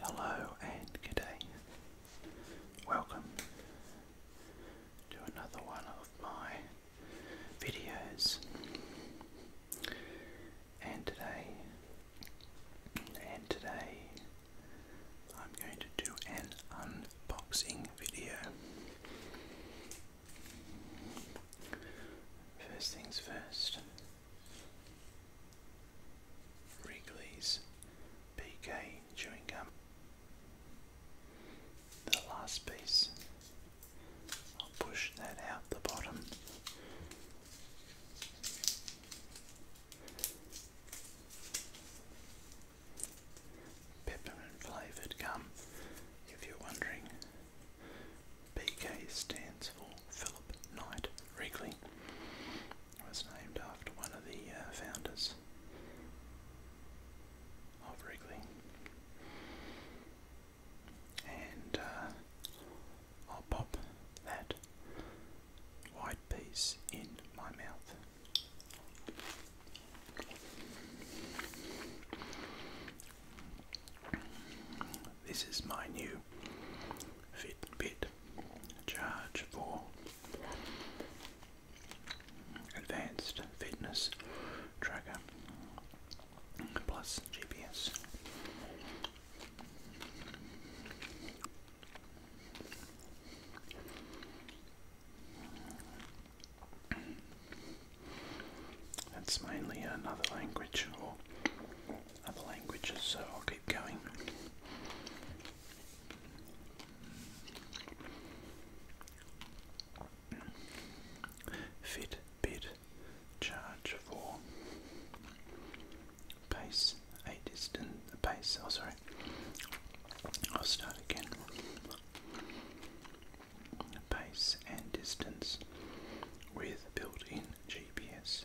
Hello and good day. Welcome to another one of my videos. And today, and today, I'm going to do an unboxing video. First things first. Wrigley's PK chewing gum. The last piece, I'll push that out the bottom. Peppermint flavoured gum, if you're wondering. PK stands for Philip Knight Wrigley was named after one of the uh, founders of Wrigley. And uh, I'll pop that white piece in my mouth. This is my new Fitbit charge for advanced fitness tracker plus GPS. That's mainly another language other languages, so I'll keep going. Fit, charge for pace, a distance, pace, oh sorry, I'll start again. Pace and distance with built in GPS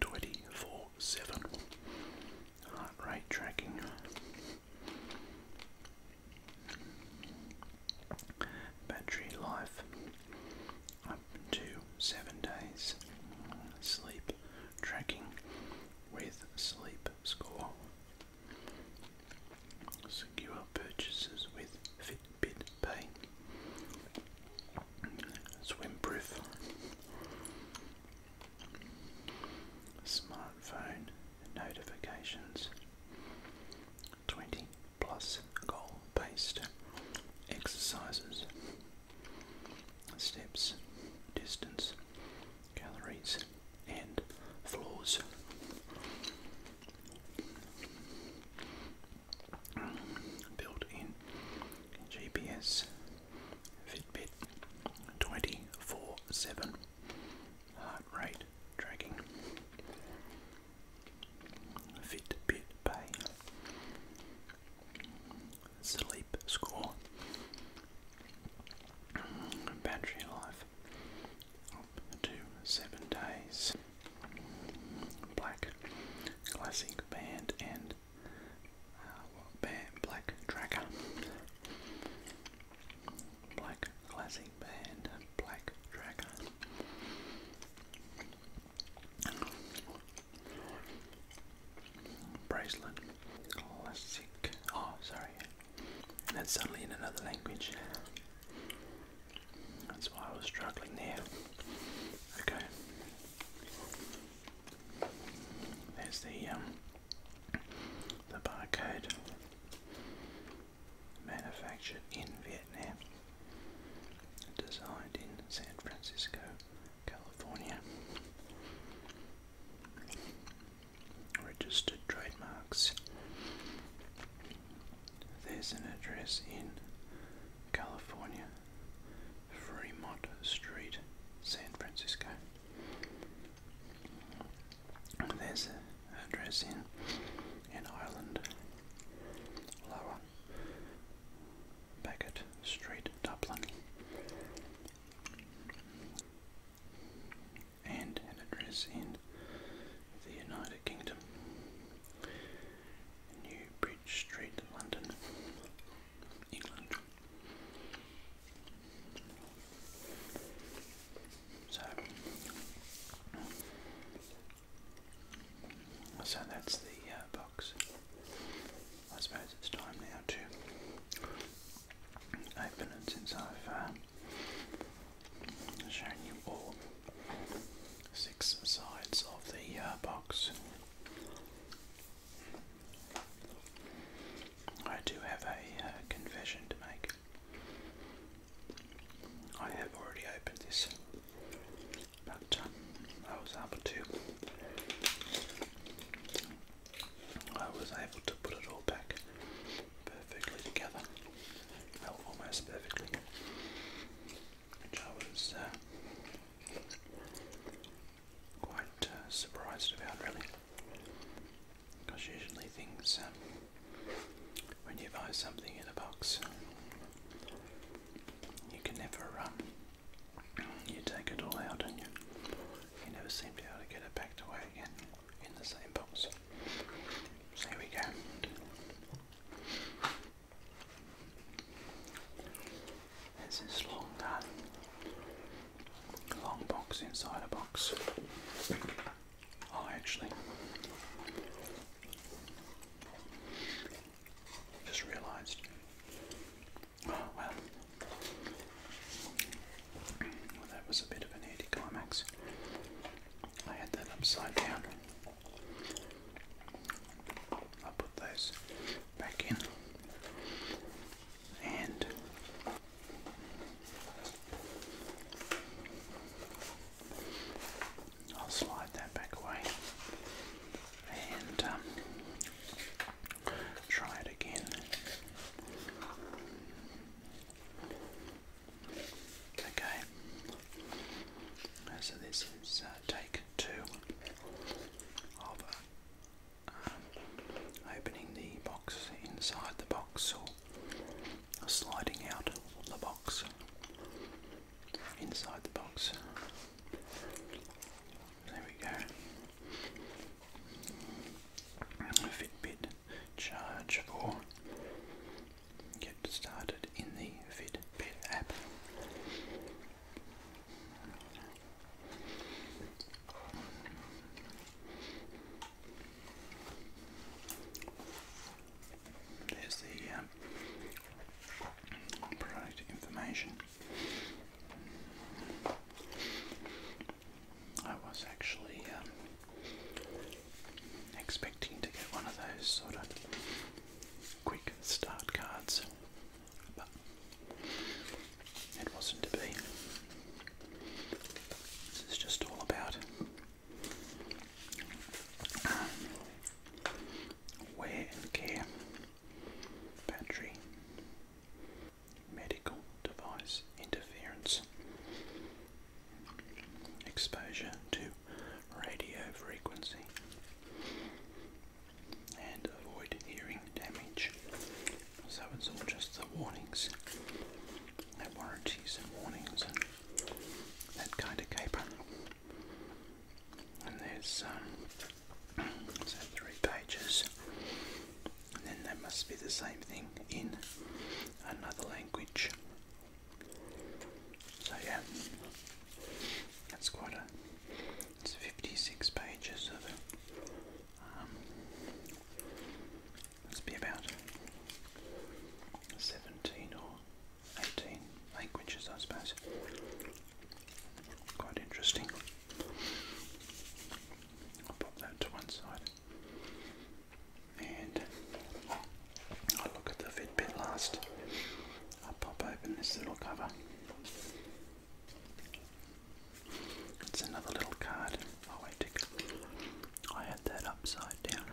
Twenty-four seven heart rate tracking. Battery life up to seven days. Sleep tracking with sleep score. Secure purchases with bit, bit bay. Swimproof. Smartphone notifications. 20 plus goal based exercises. Steps, distance, calories, and floors built-in GPS, Fitbit, 24/7 heart rate tracking, Fitbit Pay, sleep score, battery life up to seven days black classic band and uh, what band? black tracker, black classic band, black tracker. Bracelet, classic. Oh, sorry, and that's suddenly in another language. That's why I was struggling there. Okay. There's the um, the barcode manufactured in Vietnam. Designed in San Francisco, California. Registered trademarks there's an address in California, Fremont Street, San Francisco. There's an address in an island, Lower Beckett Street, Dublin. And an address in the United Kingdom, New Bridge Street, London, England. So, so that's the uh, box. I suppose it's time now to open it since I've uh, shown you all six sides of the uh, box. I do have a uh, confession to make. I have already opened this, but um, I was able to. I was able to put it all back perfectly together. Well, almost perfectly which I was uh, quite uh, surprised about, really. Because usually things, um, when you buy something in a box, you can never, um, you take it all out and you, you never seem to be able to get it packed away again in the same box. So here we go. There's this long, uh, long box inside a box. I actually just realised. Oh well. Well, that was a bit of an anticlimax. I had that upside down. I'll put those back in. And I'll slide that back away and um, try it again. Okay, so this is uh, take two of um, opening the box inside the box or sliding out the box inside the box. There we go. Fitbit charge for get started in the Fitbit app. There's the um, product information. I was actually um, expecting to get one of those sort of quick start cards, but it wasn't to be. This is just all about um, wear and care, battery, medical device interference, exposure to radio frequency and avoid hearing damage. So it's all just the warnings, the warranties and warnings and that kind of caper. And there's uh, three pages, and then there must be the same thing in another language so yeah, that's quite a. It's 56 pages of. Um, must be about 17 or 18 languages, I suppose. Quite interesting. I'll pop that to one side and I look at the Fitbit last. I pop open this little cover. It's another little card. Oh wait, tick. I had that upside down.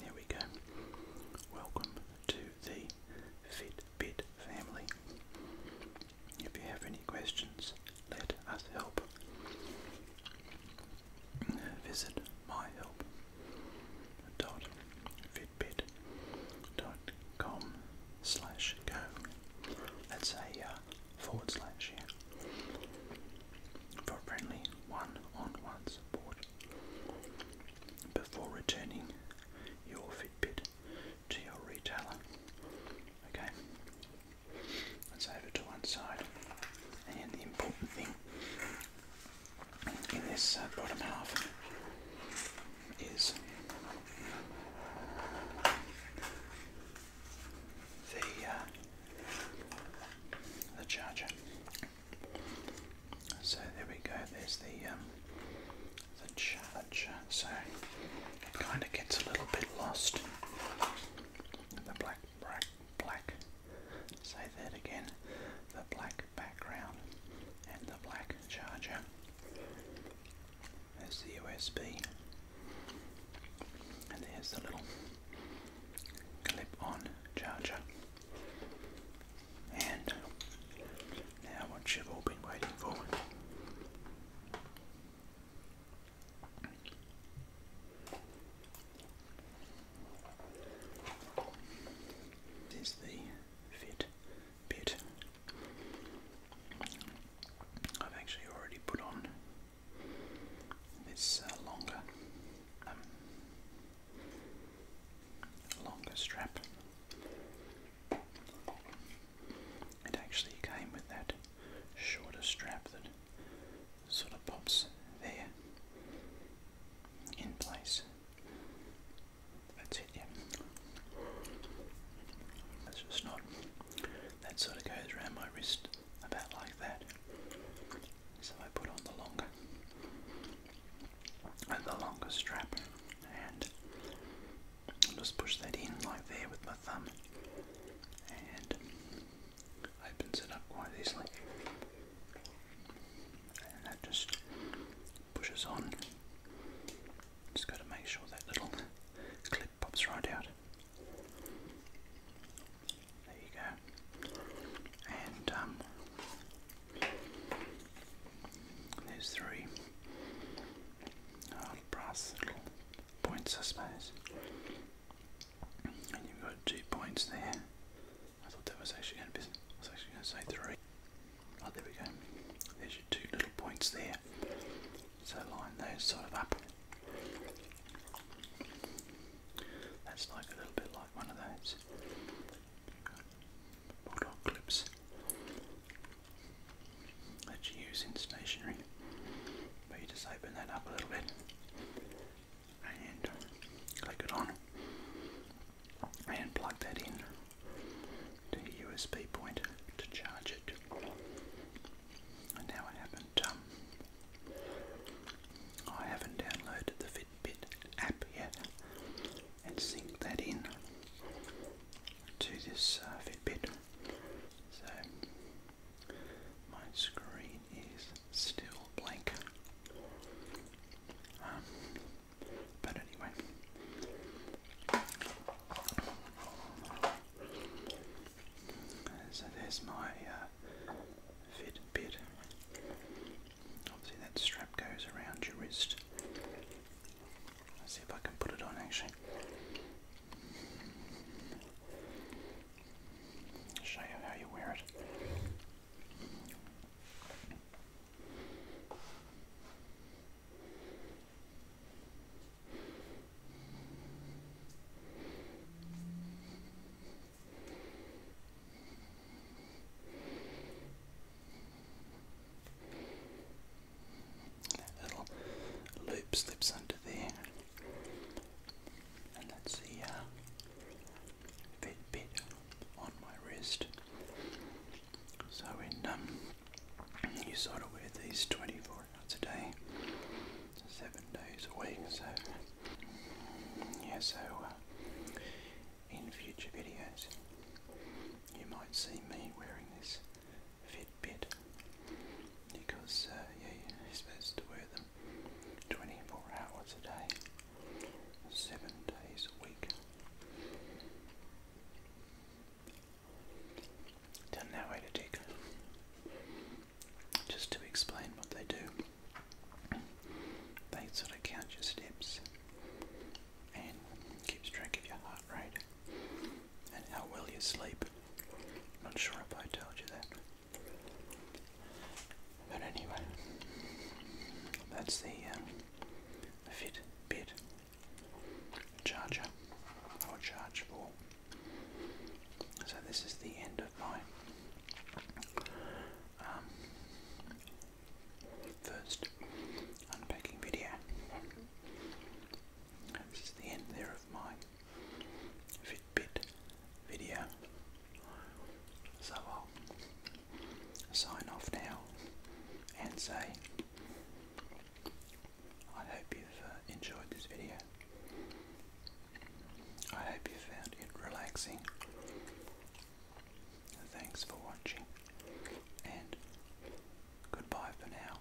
There we go. Welcome to the Fitbit family. If you have any questions, let us help. Visit myhelp.fitbit.com slash go. That's a uh, forward slash here for friendly one-on-one before returning your Fitbit to your retailer. Okay, that's over to one side. And the important thing in this uh, bottom half is the uh, the charger. So there we go. There's the um, the charger. So it kind of gets a little bit lost. in The black black, say that again, the black background and the black charger. There's the USB and there's the little clip-on charger. And now what you've all been waiting for. This is the fit bit. I've actually already put on this uh, longer, um, longer strap. It actually came with that shorter strap that sort of pops there in place. That's it, yeah. That's just not. That sort of goes around my wrist about like that. So I put on the longer, and the longer strap, and just push that in like there with my thumb, and opens it up quite easily. And that just pushes on. Just got to make sure that little clip pops right out. There you go. And um, there's three oh, brass little points, I suppose. And you've got two points there. I thought that was actually going to be, I was actually going to say three. Oh, there we go. There's your two little points there. So line those sort of up. That's like a little bit like one of those bulldog clips that you use in stationery. But you just open that up a little bit and click it on and plug that in to your USB point to charge it. And now I haven't um, I haven't downloaded the Fitbit app yet and sync that in to this uh, Fitbit. So my screen is still blank. Um, but anyway. So there's my uh, Fitbit. Obviously that strap goes around your wrist. Let's see if I can put it on actually. Show you how you wear it that little loop slips under there, and that's the uh, on my wrist. So um, you sort of wear these 24 hours a day, seven days a week, so yeah, so uh, in future videos you might see me wearing this Fitbit because uh, yeah, you're supposed to wear them 24 hours a day, 7 days a week. Done that way to Just to explain what they do, they sort of count your steps and keep track of your heart rate and how well you sleep. Not sure if I told you that. But anyway, that's the uh, um, Fitbit charger or charge ball. So this is the end of my um, first unpacking video. This is the end there of my Fitbit video. So I'll sign off now and say I hope you've uh, enjoyed this video. I hope you found it relaxing. Thanks for watching and goodbye for now.